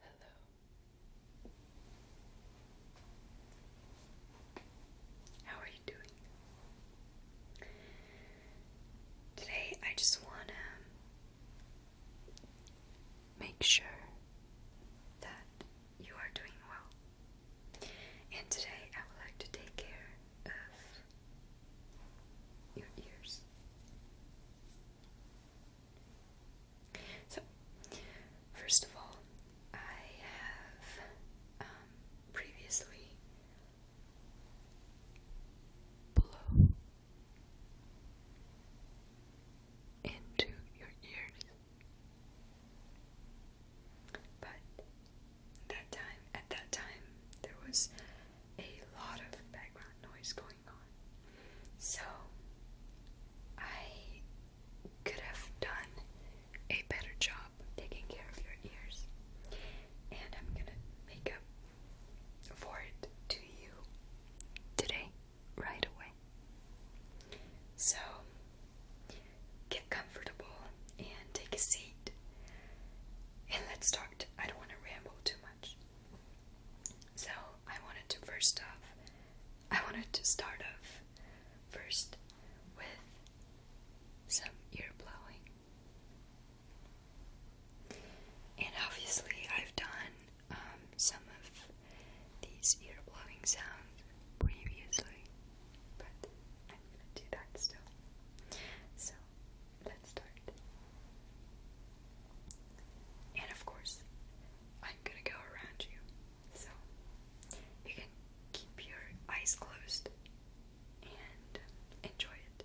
Hello. How are you doing? Today I just want to make sure that you are doing well. And today I would like to take care of your ears. So, first of all, I have um, previously blow into your ears, but that time at that time there was a lot of background noise going so, I could have done a better job taking care of your ears, and I'm gonna make up for it to you today, right away. So, get comfortable and take a seat, and let's start. I don't want to ramble too much. So I wanted to first off, I wanted to start off first with some ear blowing. And obviously, I've done um, some of these ear blowing sounds previously, but I'm gonna do that still. So let's start. And of course, I'm gonna go around you. So you can keep your eyes closed and enjoy it.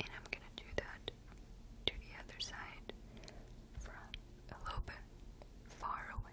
And I'm gonna do that to the other side from a little bit far away.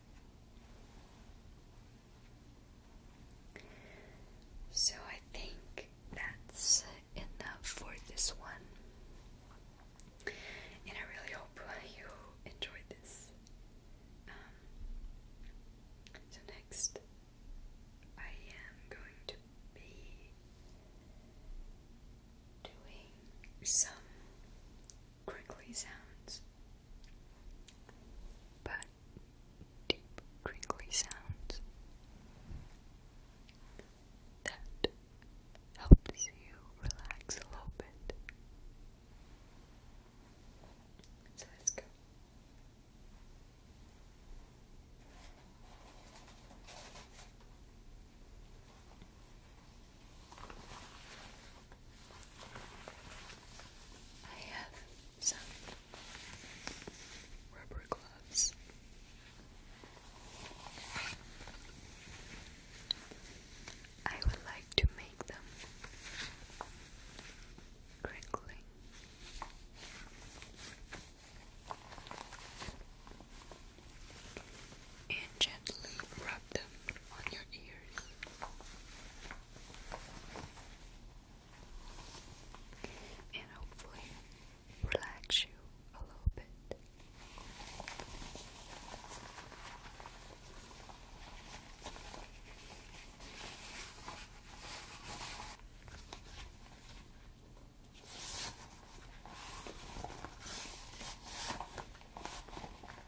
So I think that's enough for this one. And I really hope you enjoyed this. Um, so next, I am going to be doing some crinkly sounds, but deep crinkly sounds that helps you relax a little bit. So let's go. I have some rubber gloves. I would like to make them crinkling and gently rub them on your ears. And hopefully relax you a little bit.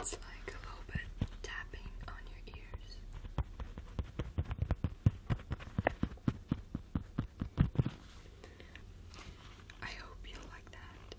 It's like a little bit tapping on your ears. I hope you like that.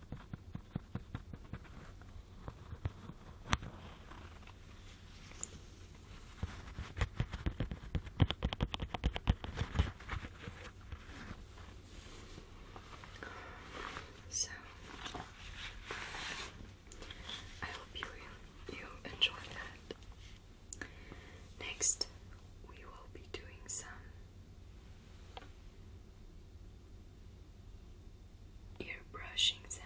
So, I hope you you enjoyed that. Next, we will be doing some ear brushing sound.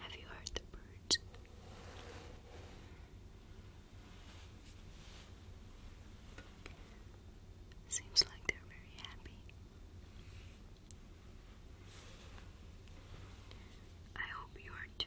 Have you heard the birds? Seems like they're very happy. I hope you are too.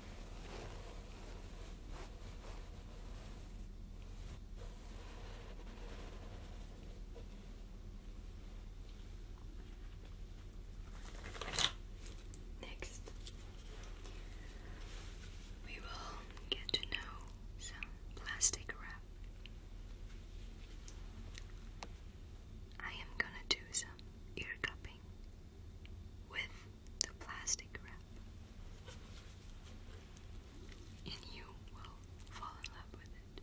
Next, we will get to know some plastic wrap. I am gonna do some ear cupping with the plastic wrap, and you will fall in love with it.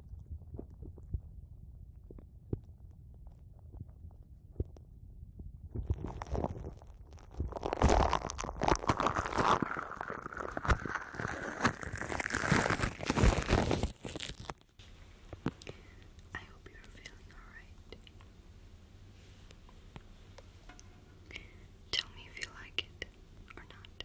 I hope you're feeling alright. Tell me if you like it or not.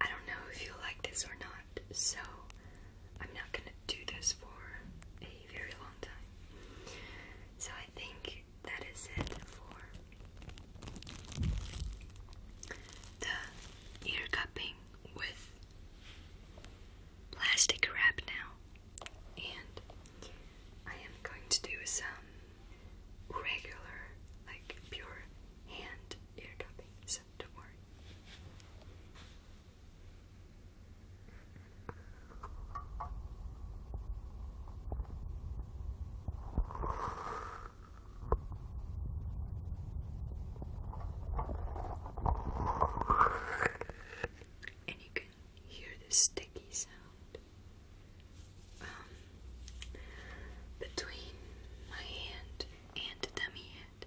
I don't know if you like this or not, so I'm not gonna do this for a very long time. So I think that is it for the ear cupping with plastic wrap now and I am going to do some regular, like pure hand ear tapping, so don't worry and you can hear the sticky sound um, between my hand and dummy head.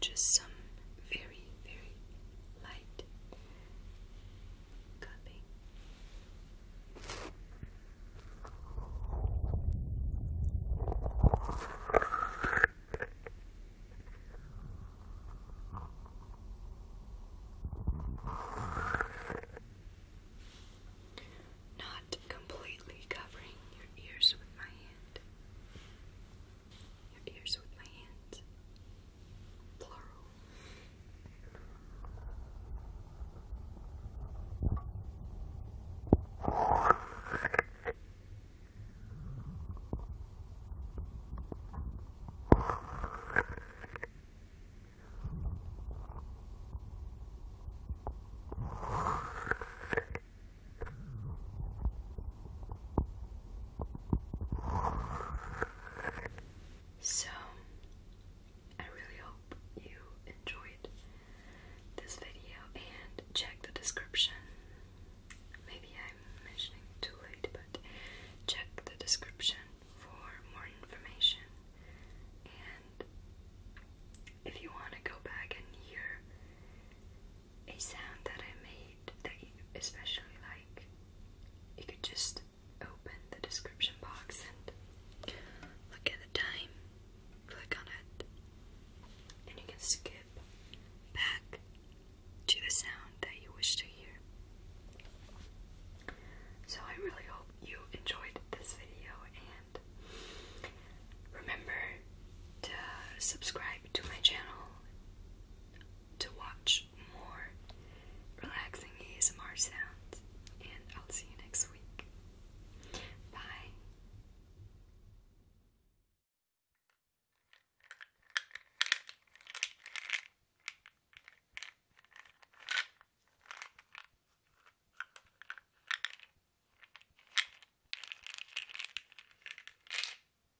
Just some very, very light cupping. Not completely covering your ears with my hand your ears with my hand. Plural. So, I really hope you enjoyed this video and check the description. Maybe I'm mentioning too late, but check the description for more information. And if you want to go back and hear a sound that I made that you especially like, you could just open the description box and look at the time, click on it, and you can skip back to the sound that you wish to hear. So, I really hope you enjoyed this video and remember to subscribe to my channel to watch more relaxing ASMR sounds, and I'll see you next week. Bye.